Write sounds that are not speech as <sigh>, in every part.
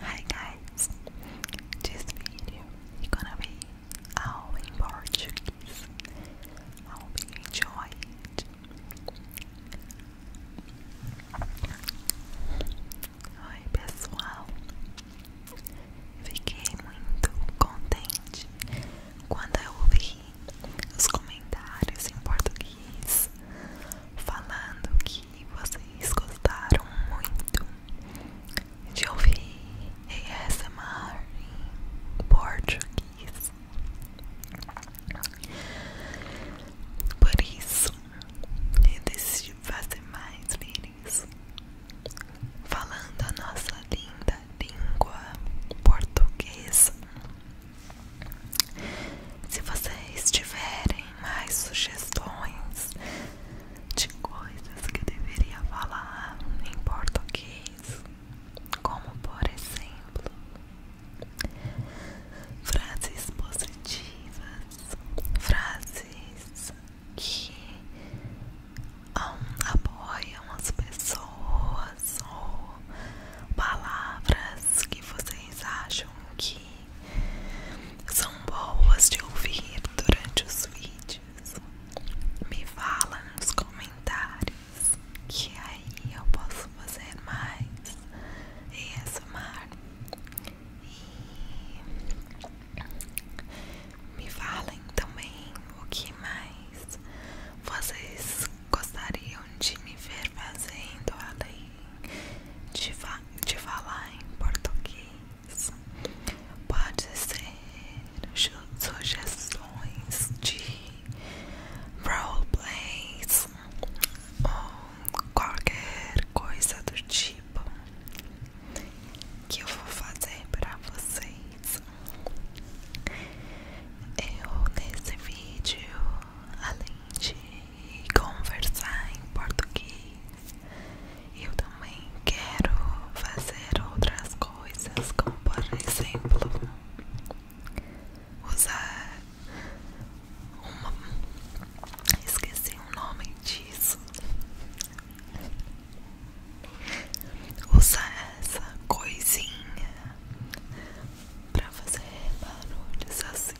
Hi guys, this video is gonna be all in Portuguese. I hope you enjoy Oi pessoal, fiquei muito contente quando eu ouvi os comentários em português falando que vocês gostaram muito de ouvir ASMR em português. Por isso, eu decidi fazer mais vídeos falando a nossa linda língua portuguesa. Se vocês tiverem mais sugestões de coisas que deveria falar em português, é como por exemplo, frases positivas, frases que apoiam as pessoas pessoas ou palavras que vocês acham que são boas de ouvir durante os vídeos. Me fala nos comentários que aí eu posso fazer mais e somar. E me falem também o que mais vocês gostariam de me ver fazendo, além de, de falar em português. Pode ser sugestões de roleplays ou qualquer coisa do tipo que eu vou fazer para vocês. Eu nesse vídeo além de conversar em português, eu também quero fazer outras coisas, como por exemplo, usar uma. Esqueci o nome disso. Usar essa coisinha pra fazer barulhos assim.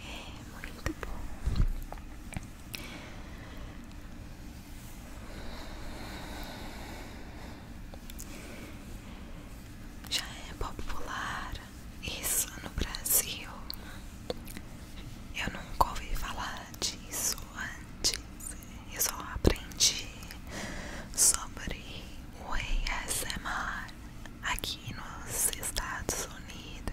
É muito bom. Já é popular isso no Brasil. Eu nunca ouvi falar disso antes. Eu só aprendi sobre o ASMR aqui nos Estados Unidos.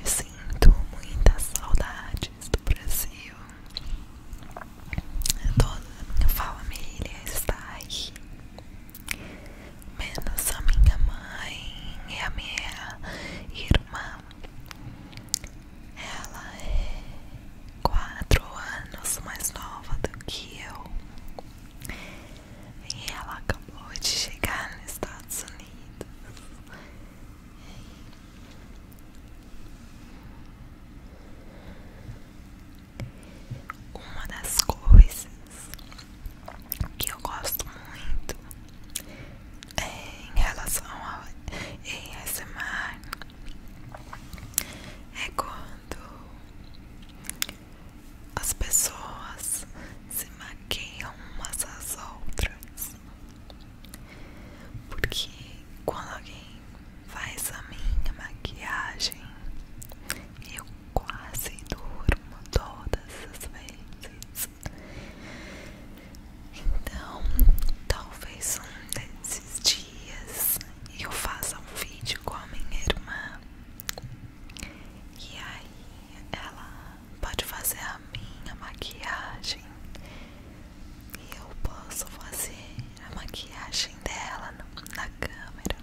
Eu sinto muitas saudades do Brasil. Toda a minha família está aí menos a minha mãe e a minha irmã. Ela é quatro anos mais nova do que eu. E ela acabou de chegar nos Estados Unidos. Uma das coisas que eu gosto muito é em relação a essa ASMR é quando as pessoas se maquiam umas às outras. Porque quando alguém faz a minha maquiagem, eu quase durmo todas as vezes. Então, talvez um desses dias eu faça um vídeo com a minha irmã e aí ela pode fazer a minha maquiagem e eu posso fazer a maquiagem dela na câmera.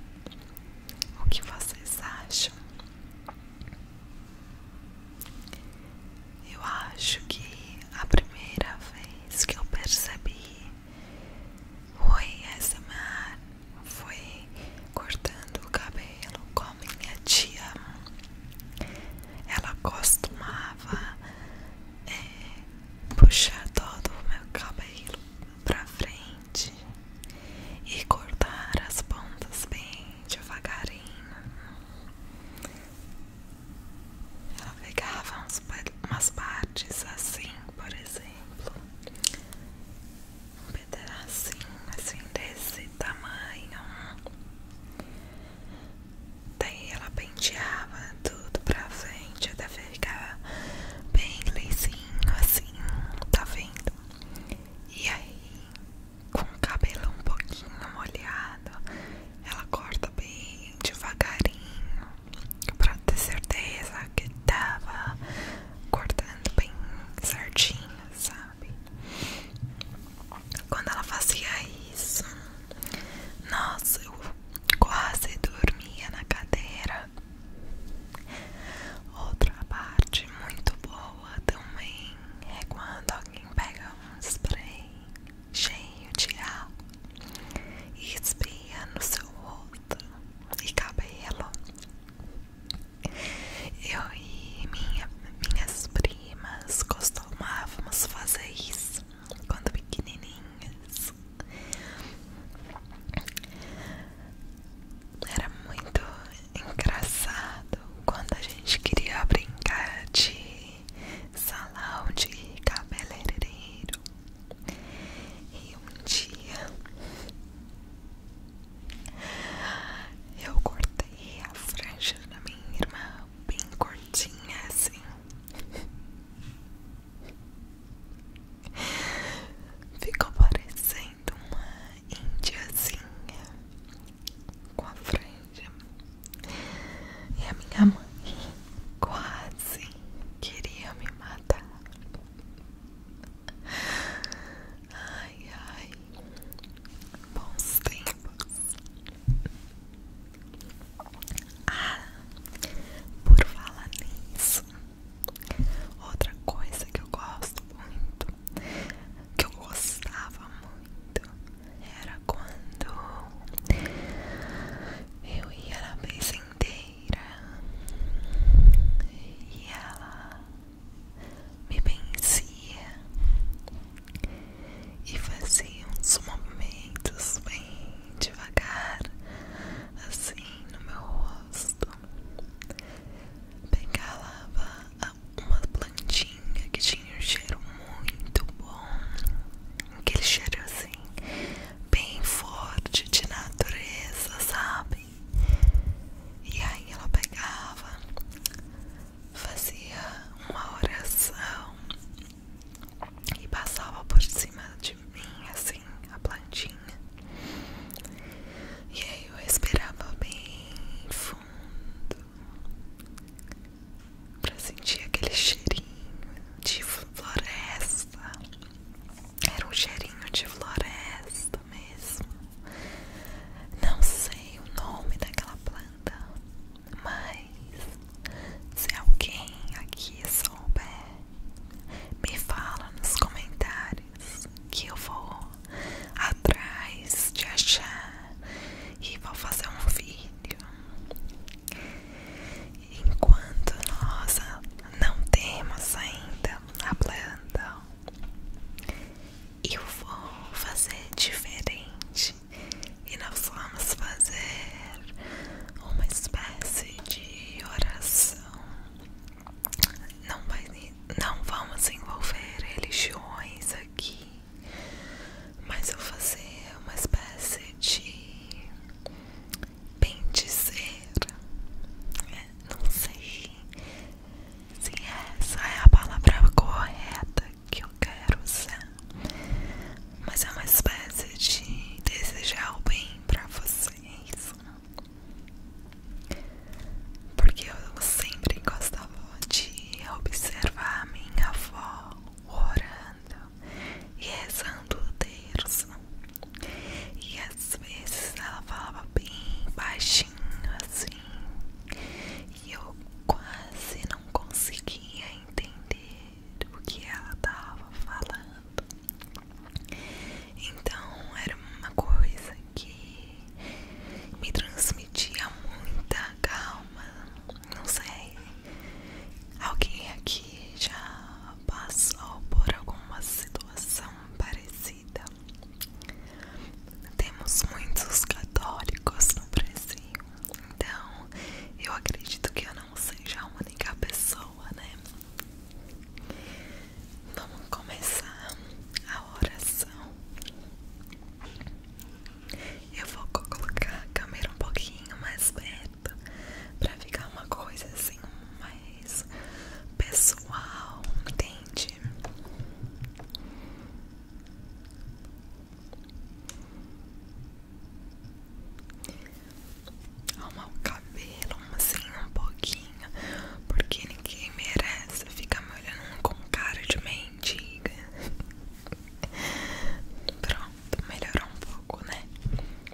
O que vocês acham? Eu acho que a primeira vez que eu percebi foi essa mar, foi cortando o cabelo com minha tia. Ela costumava eh, puxar todo o meu cabelo para frente e cortar as pontas bem devagarinho. Ela pegava umas partes assim, por exemplo, um pedaço assim desse tamanho. Daí ela penteava tudo pra frente até vai ficar bem lisinho assim, tá vendo? E aí, com o cabelo um pouquinho molhado, ela corta bem devagarinho pra ter certeza que tava cortando bem certinho, sabe? Quando ela fazia isso, nossa, eu quase dormia na cadeira. Outra parte muito boa também é quando alguém pega um spray cheio de água e espia no seu rosto e cabelo. Eu e minhas primas costumávamos fazer isso quando pequenininhas era muito engraçado quando a gente queria brincar de salão de cabeleireiro. E um dia eu cortei a franja da minha irmã bem curtinha assim. Ficou parecendo uma índiazinha com a franja. E a minha mãe quase queria me matar. Ai, ai, bons tempos. Ah, por falar nisso, Outra coisa que eu gosto muito, que eu gostava muito, era quando eu ia na mesa inteira e ela me vencia e fazia uns movimentos bem devagar assim no meu rosto pegava uma plantinha que tinha um cheiro muito bom, aquele cheiro assim, bem forte de natureza, sabe? E aí ela pegava, fazia uma oração e passava por cima de mim, assim, a plantinha. E aí eu esperava bem fundo para sentir aquele cheirinho de floresta. Era um cheirinho de floresta mesmo. Não sei o nome daquela planta, mas se alguém aqui souber, me fala nos comentários que eu vou atrás de achar e vou fazer um vídeo. Enquanto nós não temos ainda a planta, eu vou fazer diferente e nós vamos fazer uma espécie de oração não, vai, não vamos envolver religiões aqui, mas eu vou fazer uma espécie de bem dizer. É, não sei se essa é a palavra correta que eu quero usar, mas é uma espécie de desejar o bem pra vocês. Porque eu sempre gostava de observar a minha avó orando e rezando o terço. E às vezes ela falava bem baixinho assim. E eu quase não conseguia entender o que ela estava falando. Então era uma coisa que me transmitia muita calma. Não sei, alguém aqui já passou por alguma situação parecida? Temos muitos católicos no Brasil, então eu acredito que eu não seja a única pessoa, né? Vamos começar a oração. Eu vou colocar a câmera um pouquinho mais perto para ficar uma coisa assim mais pessoal, entende? Arrumar o cabelo assim um pouquinho porque ninguém merece ficar me olhando com cara de mendiga. <laughs> Pronto, melhorou um pouco, né?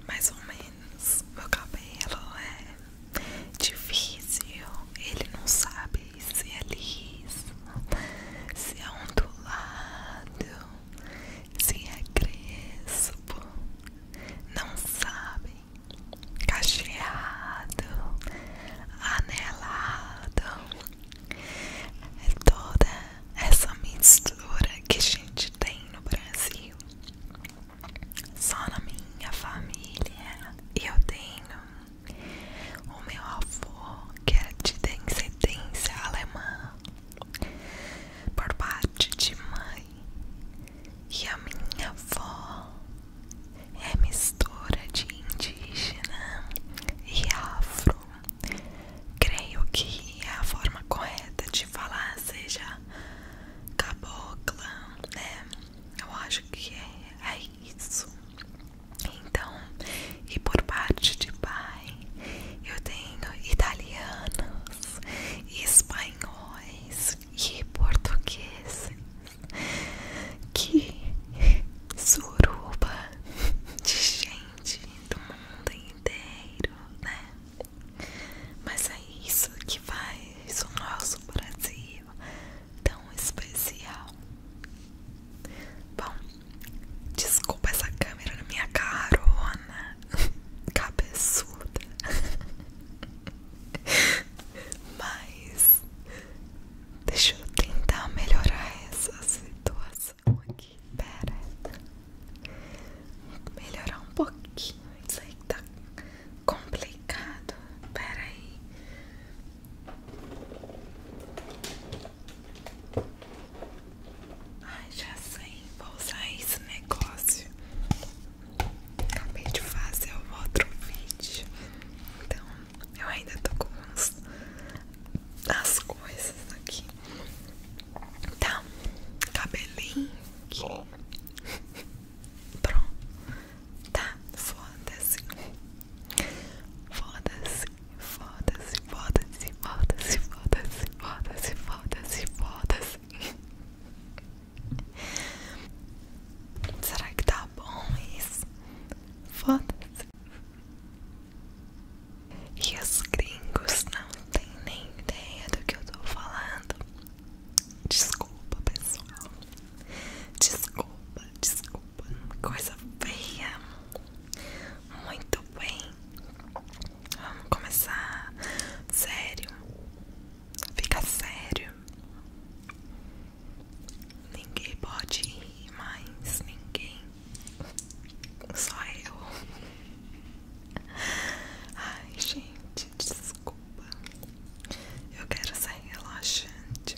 Mais ou menos. Meu cabelo é difícil, ele não sabe se é liso, se é ondulado, se é crespo. Não sabe cacheado, anelado. É toda essa mistura que a gente tem no Brasil. Só na minha família eu tenho o meu avô que é de descendência alemã por parte de mãe e a minha avó é mistura de indígena e afro. Creio que é a forma correta de falar seja cabocla, né? Eu acho que é, é, isso. Então, e por parte de pai, eu tenho italianos, espanhóis e portugueses que suruba de gente do mundo inteiro, né? Mas é isso que faz o nosso Brasil tão especial. Bom, desculpa essa câmera na minha carona <laughs> cabeçuda. <laughs> <laughs> Mas deixa eu tentar melhorar essa situação aqui. Pera. Melhorar um pouquinho. Isso aí tá complicado. Pera aí. Ai, já sei. Vou usar esse negócio Acabei de fazer o outro vídeo, então eu ainda tô com uns, as coisas aqui. Então, cabelinho Pronto, tá? Foda-se, foda-se, foda-se, foda-se, foda-se, foda-se, foda-se, foda-se, foda-se. Será que tá bom isso? Foda-se. E os gringos não têm nem ideia do que eu tô falando. Desculpa, pessoal. Desculpa, desculpa. Coisa feia. Muito bem. Vamos começar sério. Fica sério. Ninguém pode rir mais, ninguém. Só eu. Ai, gente, desculpa. Eu quero ser relaxante.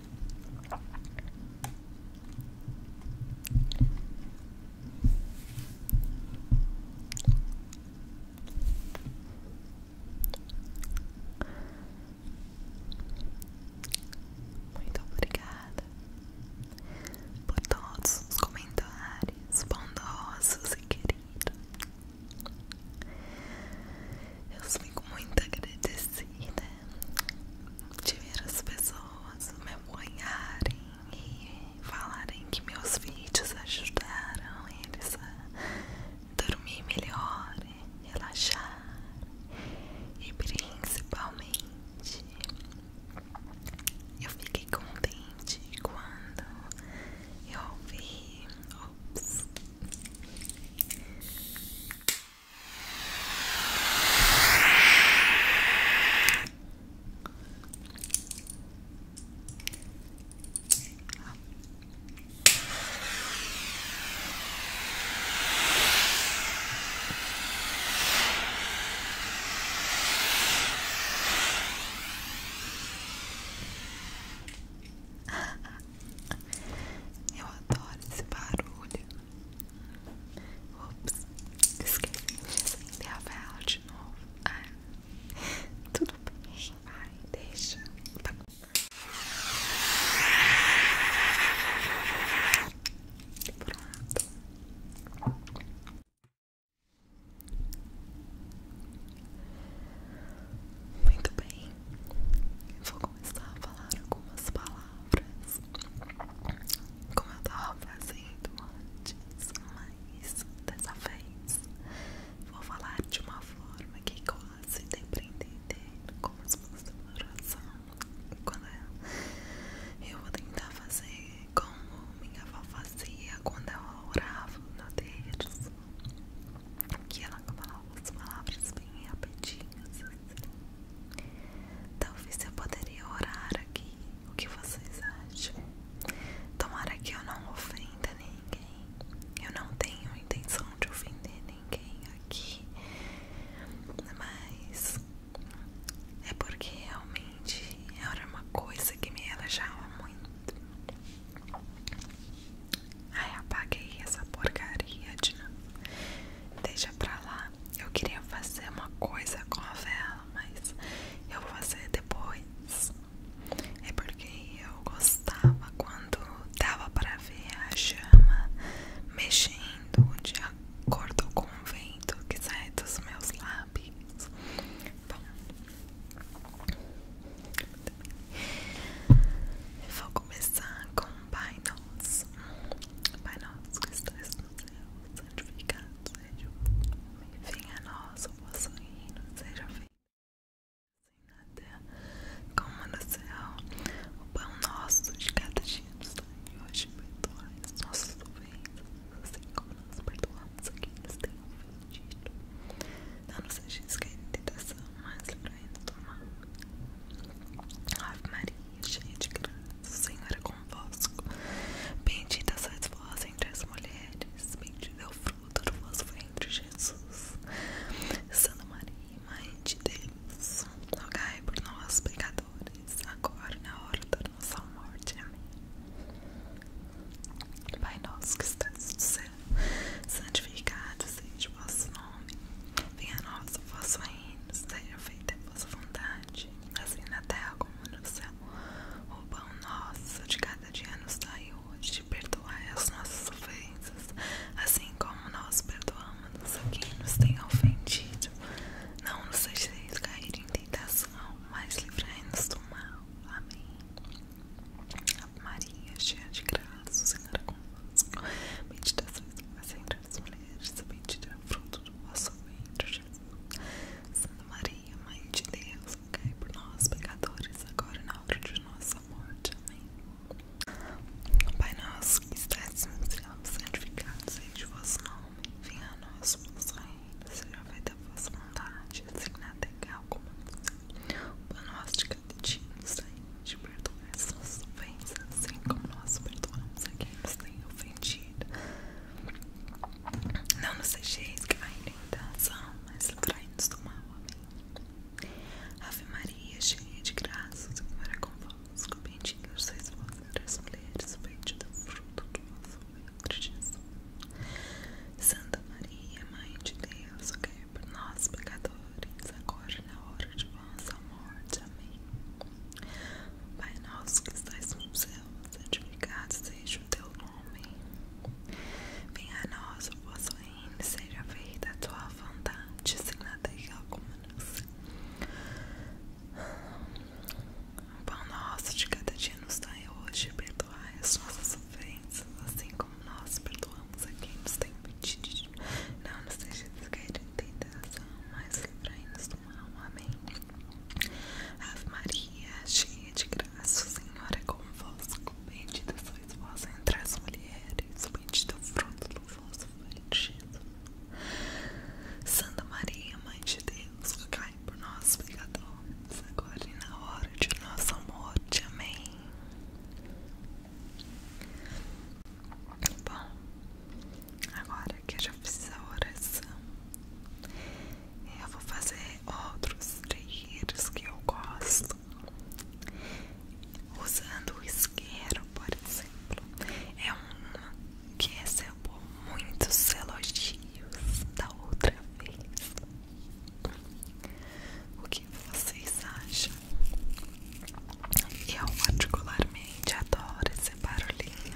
Muito obrigada por todos os comentários bondosos e queridos. Eu fico muito agradecida de ver as pessoas me apoiarem e falarem que meus vídeos ajudaram eles a dormir melhor, relaxar e principalmente eu fiquei contente quando eu ouvi. Ops. Eu adoro esse barulho. Ops, esqueci de acender a vela de novo. Ah, tudo bem, vai, deixa. Tá. Pronto. Muito bem, vou começar a falar algumas palavras palavras como eu tava fazendo antes, mas dessa vez vou falar de uma forma que quase dê pra entender como se fosse uma Quando eu, vou tentar fazer como minha avó fazia quando eu orava no terço, que ela falava as palavras bem rapidinhas assim. Talvez eu poderia orar aqui. O que vocês acham? Tomara que eu não ofenda ninguém. Eu não tenho intenção de ofender ninguém aqui. Mas é porque realmente era uma coisa que me relaxava muito. Ai, apaguei essa porcaria de novo. Deixa pra lá. Eu queria fazer uma coisa com a vela, mas eu vou fazer depois. É porque eu gostava quando dava pra ver a chama mexendo de acordo com o vento que sai dos meus lábios. Bom, eu vou começar com Pai Nosso. Pai Nosso que estás do céu, santificado seja o mundo. Venha a nós o vosso reino, seja feito sem assim nada terra como no céu. O pão nosso de cada dia nos dai hoje, perdoai as nossas ofensas, assim como nós perdoamos a quem nos tem ofendido. Não nos deixes cair em tentação, mas livrai-nos do mal. Ave Maria cheia de graça, o Senhor é convosco. Bendita sois vós entre as mulheres, bendito é o fruto do vosso ventre, Jesus. Santa Maria, Mãe de Deus, rogai por nós, pecadores, agora e na hora da nossa morte. Amém. Pai nosso que estás no céu, santificado seja o vosso nome. Venha a nós o vosso reino, seja feita a vossa vontade assim na terra como no céu. O pão nosso de cada dia nos dai hoje, de perdoar as nossas ofensas, assim como nós perdoamos a quem nos tem ofendido. Não nos deixeis cair em tentação, mas livrai-nos do mal. Amém. Maria, cheia de graça, o Senhor é convosco. Meditações que as mulheres também o fruto do vosso ventre, Jesus. Santa Maria, Mãe de Deus, rogai por nós, pecadores, agora e na hora de nossa morte. Amém. Pai nosso que estás no céu, santificado seja o vosso nome. Venha a nós, o vosso reino, seja feita a vossa vontade, assim na terra como no céu. O pão nosso de cada nos dai as nossas ofensas, assim como nós perdoamos a quem nos tem ofendido. Não nos deixeis que vai em tentação, mas livrai-nos do mal. Amém. Ave Maria, cheia de graça, o Senhor é convosco. Bendita sois vós entre as mulheres, bendito é o fruto do vosso ventre, Jesus. Santa Maria, Mãe de Deus, rogai por nós, pecadores, agora e na hora de nossa morte. Amém. Pai nosso que estás no céu, santificado seja o teu nome. Venha a nós o vosso reino, seja feita a tua vontade, assim na terra como no céu. O pão nosso de cada dia nos dai hoje, perdoai as nossas ofensas, assim como nós perdoamos a quem nos tem pedido. Não nos deixes cair em tentação, mas livrai-nos do amém. Ave Maria, cheia de graça, o Senhor é convosco. Bendita sois vós entre as mulheres, bendito é o fruto do vosso ventre, Santa Maria, Mãe de Deus, cai por nós, pecadores, agora e na hora de nosso morte. Amém. Bom, Agora que eu já fiz a oração, eu vou fazer outros trilhos que eu gosto. Usando o isqueiro, por exemplo, é um que recebeu muitos elogios da outra vez. O que vocês acham? Eu particularmente adoro esse barulhinho.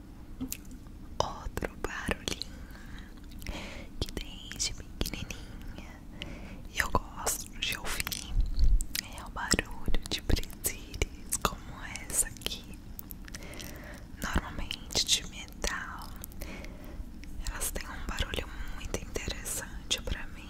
outro barulhinho que desde pequenininha eu gosto de ouvir é o barulho de presilhas como essa aqui normalmente de metal elas têm um barulho muito interessante para mim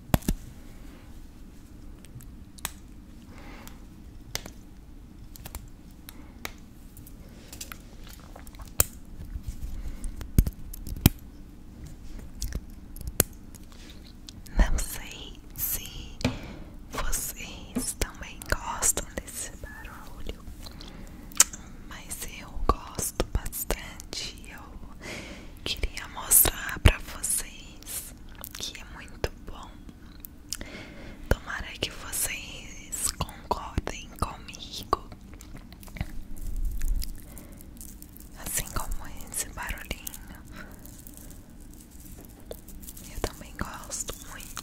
Não sei se vocês também gostam desse barulho, mas eu gosto bastante queria mostrar pra vocês que é muito bom. Tomara que vocês concordem comigo. Assim como esse barulhinho, eu também gosto muito.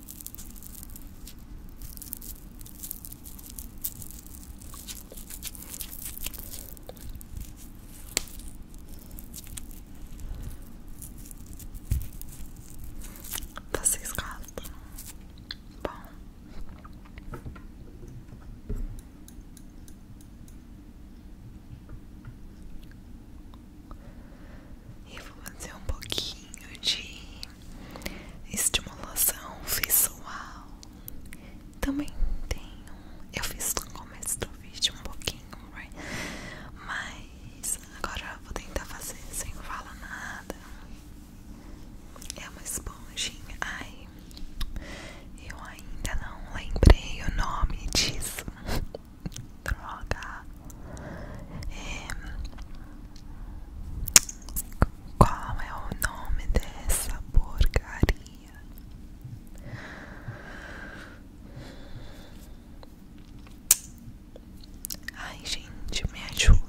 Vocês tá gostam? Bom. Eu vou fazer um pouquinho de estimulação visual. Também tenho. Eu fiz no começo do vídeo um pouquinho, right? mas agora eu vou tentar fazer sem falar nada. É uma esponjinha. Ai, eu ainda não lembrei o nome disso. <laughs> droga e, é, qual é o nome dessa porcaria ai gente me ajuda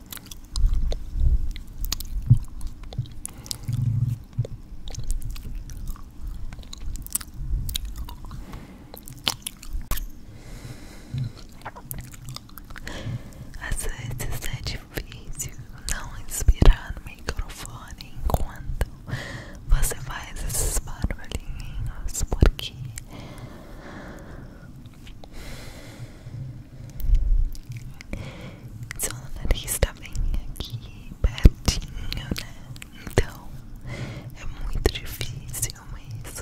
Às vezes é difícil não inspirar no microfone enquanto você faz esses barulhinhos, porque seu nariz está bem aqui, pertinho, né? Então é muito difícil mesmo.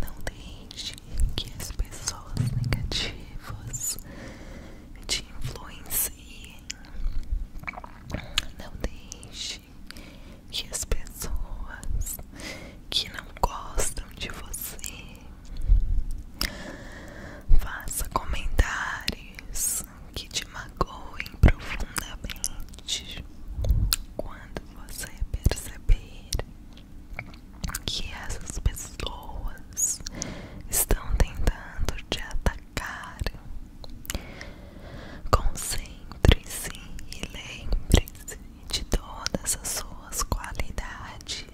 Não deixe que as pessoas negativas te influenciem. Não deixe que as pessoas que não gostam de você faça comentários que te magoem profundamente quando você perceber que essas pessoas estão tentando te atacar, concentre-se e lembre-se de todas as suas qualidades.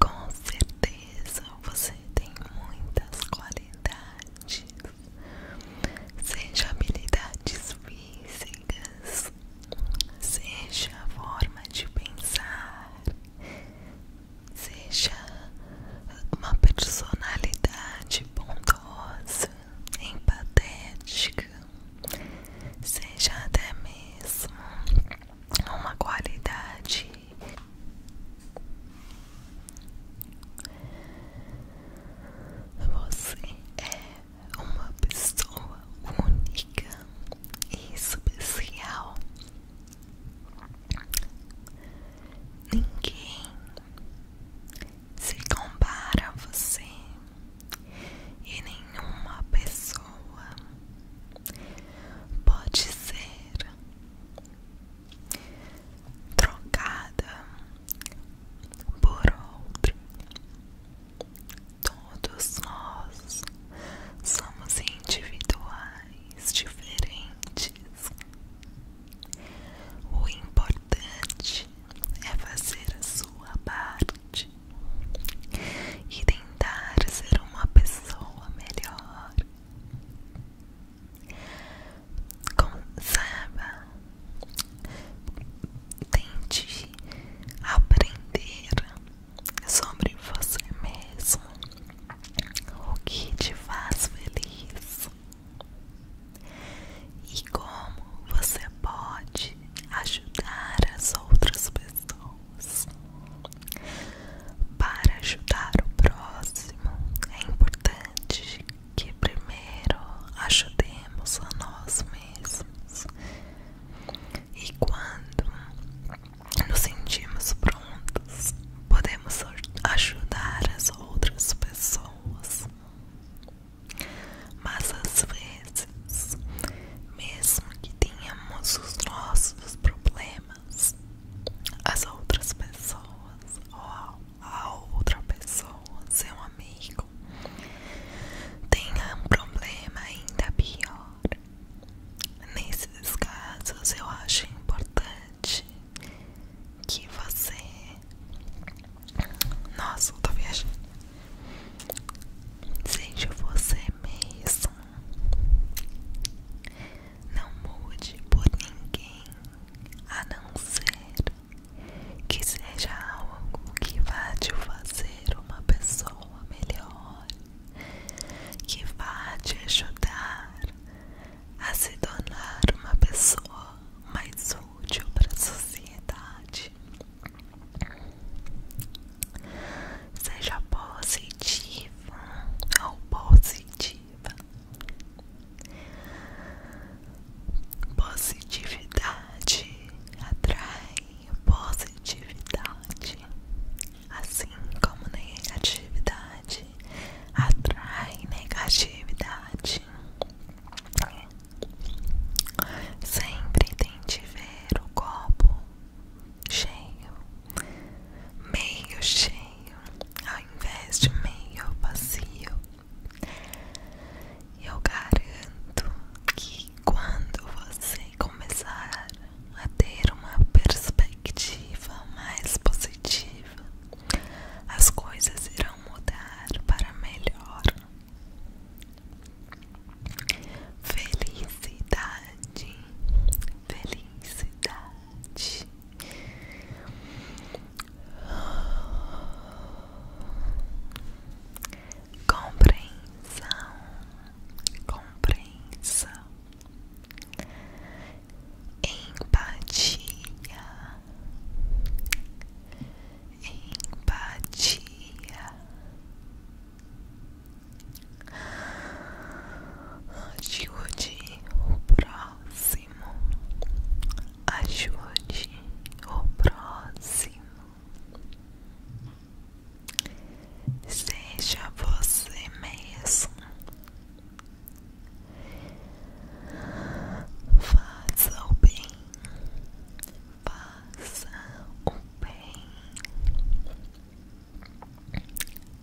Com certeza você tem muitas qualidades seja habilidades físicas, seja a forma de pensar, seja uma personalidade bondosa, empatética, seja até mesmo uma qualidade você é uma pessoa única e especial. Ninguém se compara a você e nenhuma pessoa pode ser trocada por outro, Todos nós somos individuais, diferentes. O importante é fazer a sua parte e tentar ser uma pessoa melhor. Conserva. Tente aprender sobre você mesmo. O que te faz feliz. E como você pode ajudar as outras pessoas? Para ajudar o próximo, é importante que primeiro ajudemos a nós mesmos e quando nos sentimos prontos, podemos ajudar as outras pessoas. Mas às vezes, mesmo que tenhamos os nossos problemas, as outras pessoas ou a outra pessoa, seu amigo, tenha um problema ainda pior. Nesses casos, eu acho importante que você. Nossa, eu tô viajando. Seja você mesmo. Não mude por ninguém a não ser que seja algo que vá te fazer uma pessoa melhor, que vá te ajudar a se tornar uma pessoa mais útil para a sociedade. Seja positiva ou positiva. Positividade atrai positividade, assim como negatividade atrai negatividade. Sempre tente ver o copo cheio, meio cheio, ao invés de meio vazio. Eu garanto que quando você começar a ter uma perspectiva mais positiva, as coisas irão mudar para melhor. Felicidade, felicidade. Compreensão, compreensão, empatia, empatia, digo de o próximo próximo, ajude o próximo. Seja você mesmo. Faça o bem, faça o bem,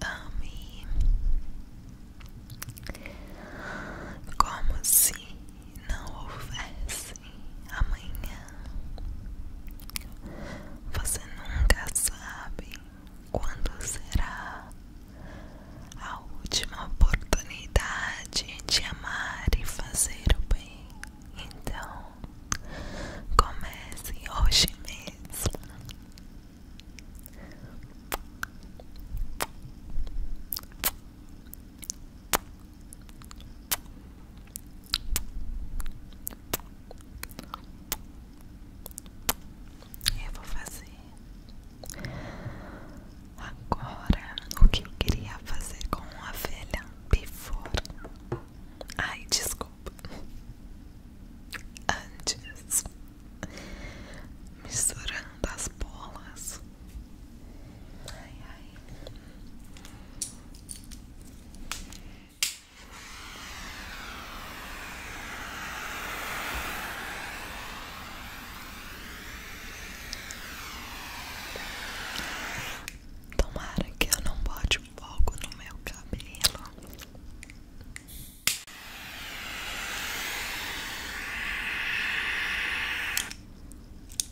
ame como se não houvesse amanhã. Você nunca sabe quando será a última oportunidade de amar e fazer o bem. Então, comece hoje mesmo. Eu vou fazer agora o que eu queria fazer com a velha before. Ai, desculpa. Antes, misturando as bolas Tomara que eu não bote fogo no meu cabelo.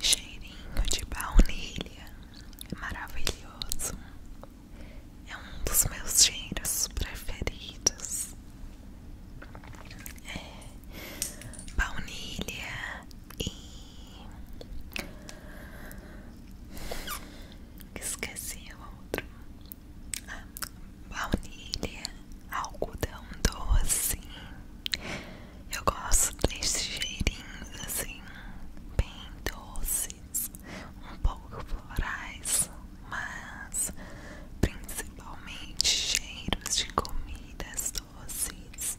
Cheirinho de baunilha, maravilhoso. É um dos meus cheiros preferidos. É. baunilha e esqueci o outro baunilha, algodão doce. Eu gosto desses cheirinhos assim, bem doces, um pouco florais, mas principalmente cheiros de comidas doces.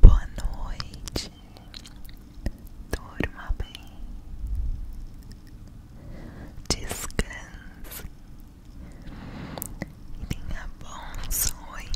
Boa noite, durma bem, descanse e tenha bons sonhos.